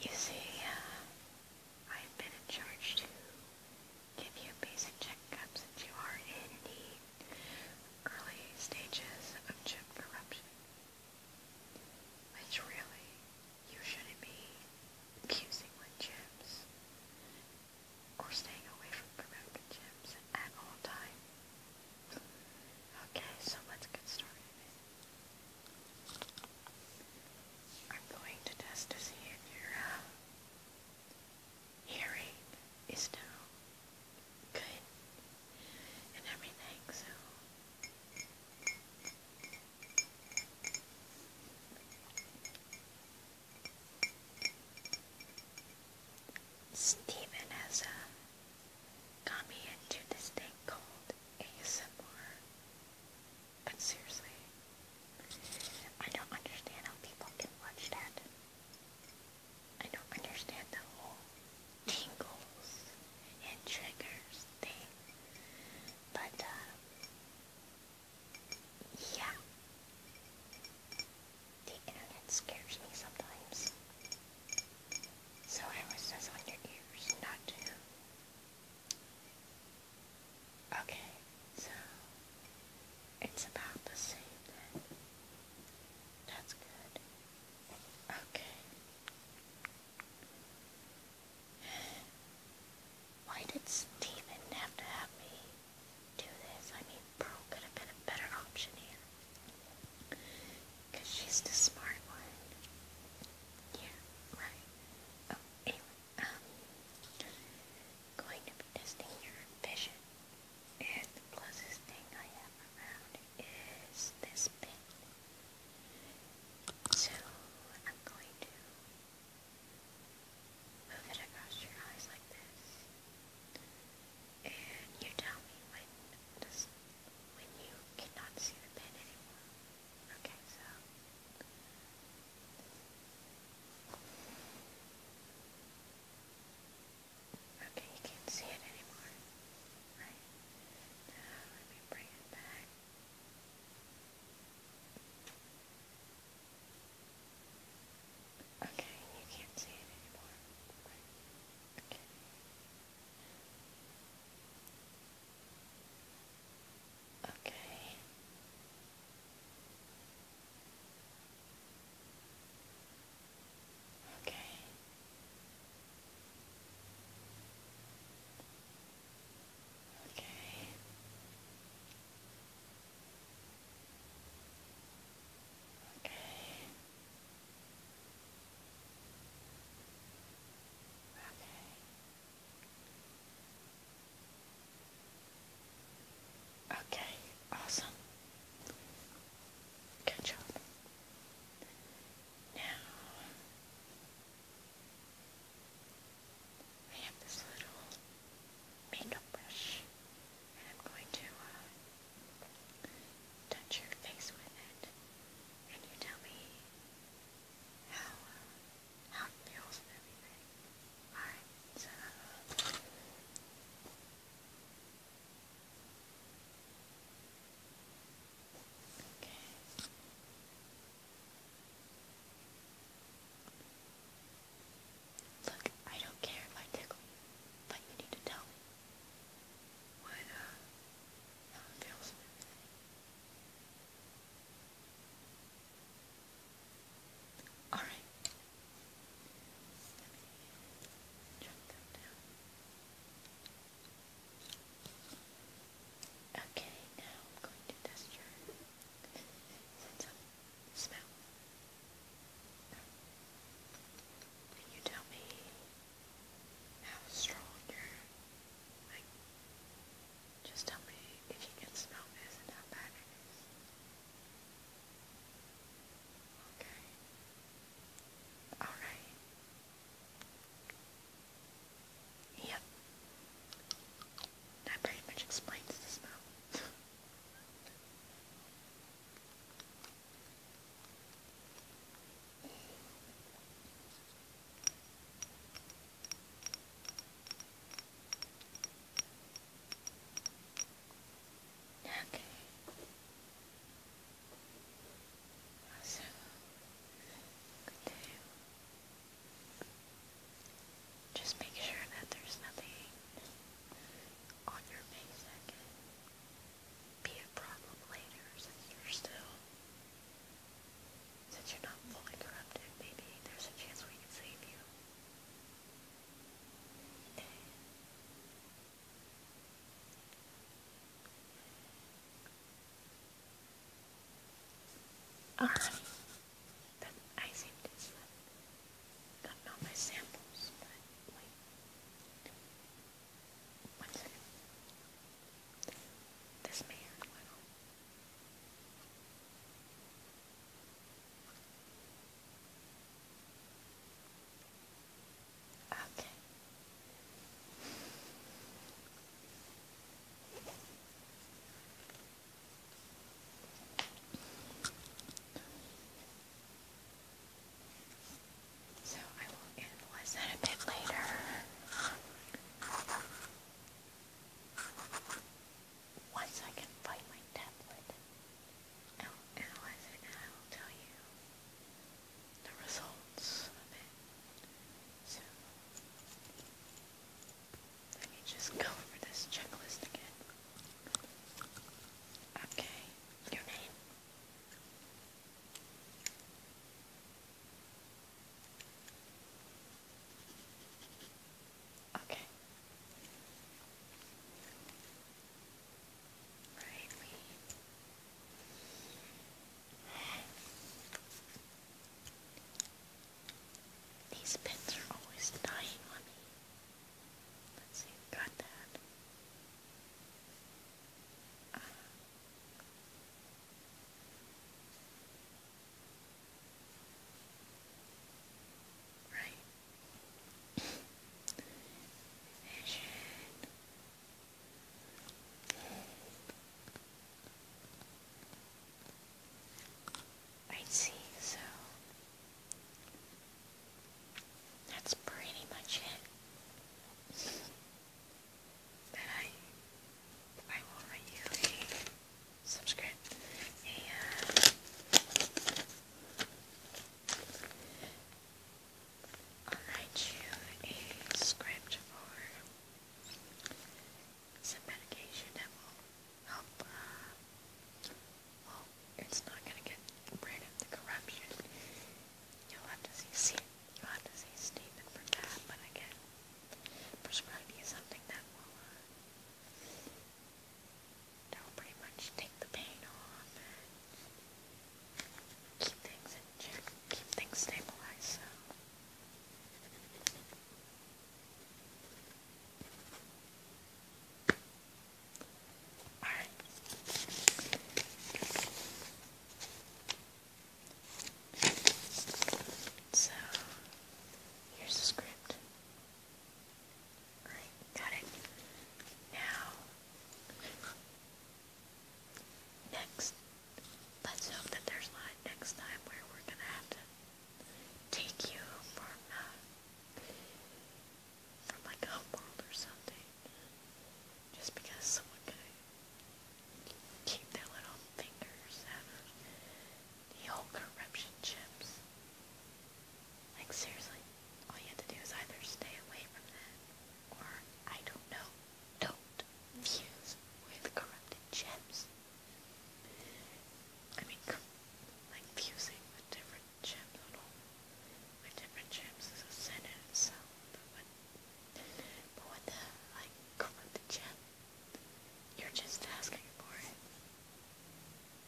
You see, uh, I've been in charge to give you basic checkups since you are in the early stages of chip corruption. Which really, you shouldn't be fusing with chips or staying away from corrupted chips at all times. Okay, so let's get started. I'm going to test to see if your uh, hearing is now good and everything, so... Stephen has a uh, got me into this thing called ASMR. But seriously, I don't understand how people can watch that. I don't understand the whole tingles and triggers thing. But, uh, yeah. The internet scares me sometimes. So I was just on your ears not to. Okay, so it's about the same then. That's good. Okay. Why did Steven have to have me do this. I mean, Pearl could have been a better option here. Because she's the smart one. Yeah, right. Oh, anyway, um, going to be testing your vision. And closest thing I have around is this pin. So, I'm going to move it across your eyes like this. And you tell me when when you cannot see the pin anymore. Okay, so Okay, you can't see it anymore. Right. Now let me bring it back. Okay, you can't see it anymore. Okay. Okay. Okay. Okay. Okay. Okay, awesome. Good job. Now, I have this little makeup brush. I'm going to uh, touch your face with it, and you tell me how uh, how it feels and everything. All right, Okay. Look, I don't care if I tickle you, but you need to tell me. What, it feels and Alright. Okay, now I'm going to test your, since smell. Can you tell me how strong your, like, just tell me if you can smell this and how bad it is. Okay. Alright. Yep. That pretty much explains the smell. Okay. Also, good to just make sure that there's nothing on your face that can be a problem later since you're still, since you're not fully corrupted, maybe there's a chance we can save you. Alright. I seem to have gotten all my samples, but wait. One second. This man Okay. So I will analyze that a bit later. Once I can find my tablet, I'll analyze it and I will tell you the results of it. So let me just go over this checklist again. Okay, your name. Okay. Right, we these pins are always dying on me. Let's see, got that. Uh, right. I see, so that's pretty much it. that I I will write you a subscript and uh, I'll write you a script for some medication that will help, uh, well, it's not going to get rid of the corruption. You'll have to see, you'll have to see Stephen for that, but I can prescribe you something that will, uh, that will pretty much take the pain off keep things in check, keep things stabilized. So. Alright. So, here's the script. Alright, got it. Now, next, Let's hope that there's not next time where we're going to have to take you from, uh, from like a world or something. Just because someone can keep their little fingers out of the old corruption chips. Like seriously, all you have to do is either stay away from that, or I don't know. Don't views with corrupted gems. I mean, like fusing the different gems on all different gems is a sin itself, but what, the, like, corrupted gem? You're just asking for it.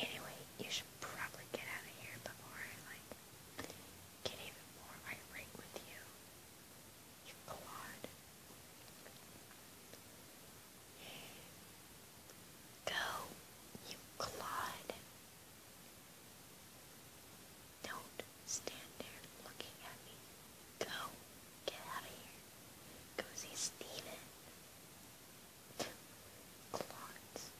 Anyway, you should probably get out of here before, like, get even more irate with you. You clod. Go, you clod. Don't stand there looking at me. Go, get out of here. Go see Steven. Clods.